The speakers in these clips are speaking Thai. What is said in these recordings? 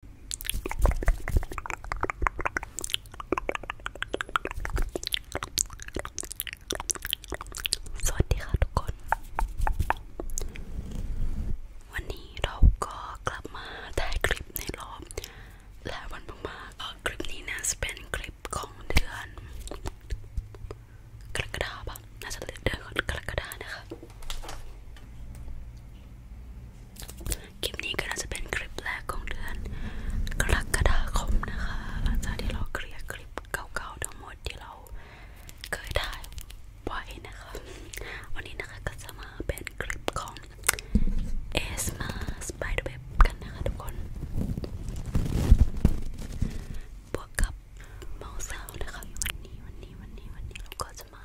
สวัสดีค่ะทุกคน วันนี้เราก็กลับมาถ่ายคลิปในรอบหลายวันมากๆก็คลิปนี้นะจะเป็นคลิปของเดือนกรกฎาคมน่าจะเดือน กรกฎานะคะคลิปนี้ก็น่าจะเป็นคลิปแรกของเดือนกรกฎาคมนะคะหลังจากที่เราเคลียร์คลิปเก่าๆทั้งหมดที่เราเคยถ่ายไว้นะคะวันนี้นะคะก็จะมาเป็นคลิปของเอสมาสไปเดอร์เว็บกันนะคะทุกคนบวกกับเมาส์ซาวนะคะวันนี้วันนี้วันนี้วันนี้เราก็จะมา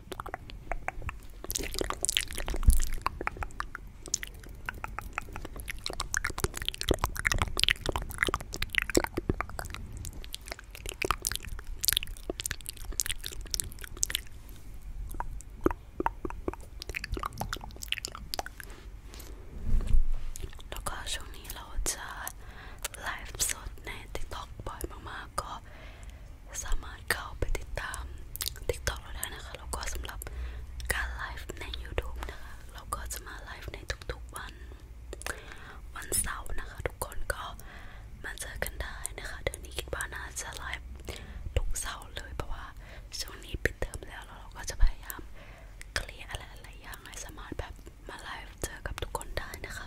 แล้วก็ช่วงนี้เราจะไลฟ์สดใน TikTok บ่อยมากๆก็สามารถเข้าไปติดตาม TikTok เราได้นะคะแล้วก็สำหรับการไลฟ์ใน YouTube นะคะเราก็จะมาไลฟ์ในทุกๆวัน วันเสาร์นะคะ ทุกคนก็มาเจอกันได้นะคะเดือนนี้คิดว่าน่าจะไลฟ์ทุกเสาร์เลยเพราะว่าช่วงนี้ปิดเทอมแล้วแล้วเราก็จะพยายามเคลียร์อะไรหลายอย่างให้สามารถแบบมาไลฟ์เจอกับทุกคนได้นะคะ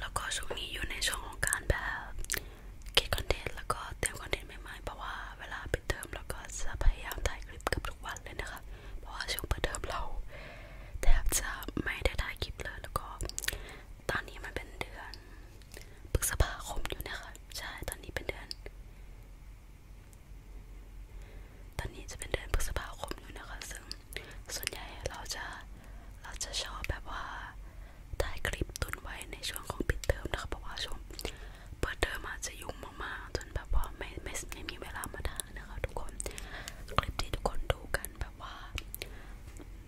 แล้วก็ช่วงนี้อยู่ในช่วงของการแบบคิดคอนเทนต์แล้วก็เตรียมคอนเทนต์ใหม่ๆเพราะว่าเวลาปิดเทอมแล้วก็จะพยายามถ่ายคลิปกับทุกวันเลยนะคะ เพราะว่าช่วงเปิดเทอมเราแทบจะไม่ได้ถ่ายคลิปเลยแล้วก็ตอนนี้มันเป็นเดือนพฤษภาคมอยู่นะคะใช่ตอนนี้เป็นเดือน ตอนนี้จะเป็นเดือนพฤษภาคมอยู่นะคะซึ่งส่วนใหญ่เราจะเราจะชอบแบบว่าถ่ายคลิปตุนไว้ในช่วงของปิดเทอมนะคะเพราะว่าช่วงเปิดเทอมอาจจะยุ่งมากๆจนแบบว่าไม่ไม่ไม่มีเวลามาถ่ายนะคะทุกคนคลิปที่ทุกคนดูกันแบบว่า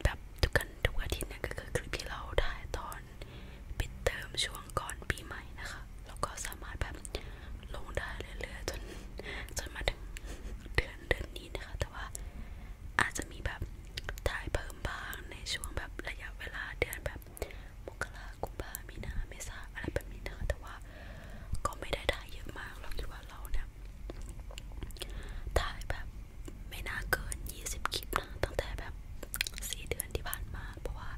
แบบทุกกันทุกอาทิตย์เนี่ยก็คือคลิปที่เราถ่ายตอนปิดเทอมช่วงก่อนปีใหม่นะคะแล้วก็สามารถแบบลงได้เรื่อยๆจนจนมาถึงเดือนเดือนนี้นะคะแต่ว่าอาจจะมีแบบถ่ายเพิ่มบ้างในช่วงแบบระยะเวลาเดือนแบบมกรากุมภามีนาเมษาอะไรแบบนี้นะแต่ว่าก็ไม่ได้ถ่ายเยอะมากเราคิดว่าเราเนี่ยถ่ายแบบไม่น่าเกิน 20 คลิปนะตั้งแต่แบบสี่เดือนที่ผ่านมา เพราะว่า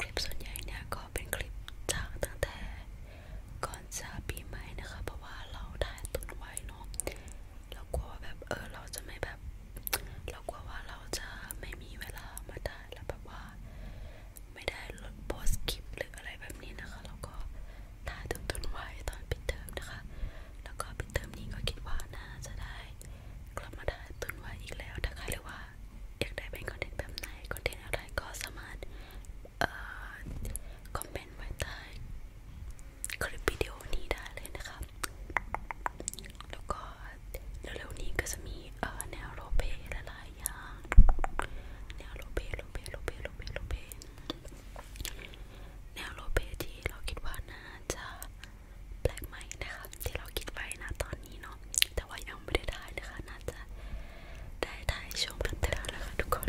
คลิปส่วนใหญ่เนี่ยก็เป็นคลิปจากตั้งแต่ก่อนจะปีใหม่นะคะเพราะว่าเราถ่ายตุนไว้เนาะเรากลัวว่าแบบเออเราจะไม่แบบ เรากลัวว่าเราจะไม่มีเวลามาได้แล้วแบบว่า ไม่ได้ลดโพสคลิปหรืออะไรแบบนี้นะคะแล้วก็ถ่ายตุนๆไว้ตอนปิดเทอมนะคะ แล้วก็ปิดเทอมนี้ก็คิดว่าน่าจะได้กลับมาถ่ายตุนไว้อีกแล้วนะคะหรือว่า อยากได้เป็นคอนเทนต์แบบไหนคอนเทนต์อะไรก็สามารถเอ่อคอมเมนต์ไว้ใต้คลิปวิดีโอนี้ได้เลยนะคะ แล้วก็เร็วๆนี้ก็จะมีแนวโรเปหลายๆอย่าง แนวโรเปโรเปโรเปโรเปโรเปแนวโรเปที่เราคิดว่าน่าจะแปลกใหม่นะคะที่เราคิดไว้นะตอนนี้เนาะแต่ว่ายังไม่ได้ถ่ายนะคะน่าจะได้ถ่ายช่วงพัฒนาแล้วค่ะทุกคน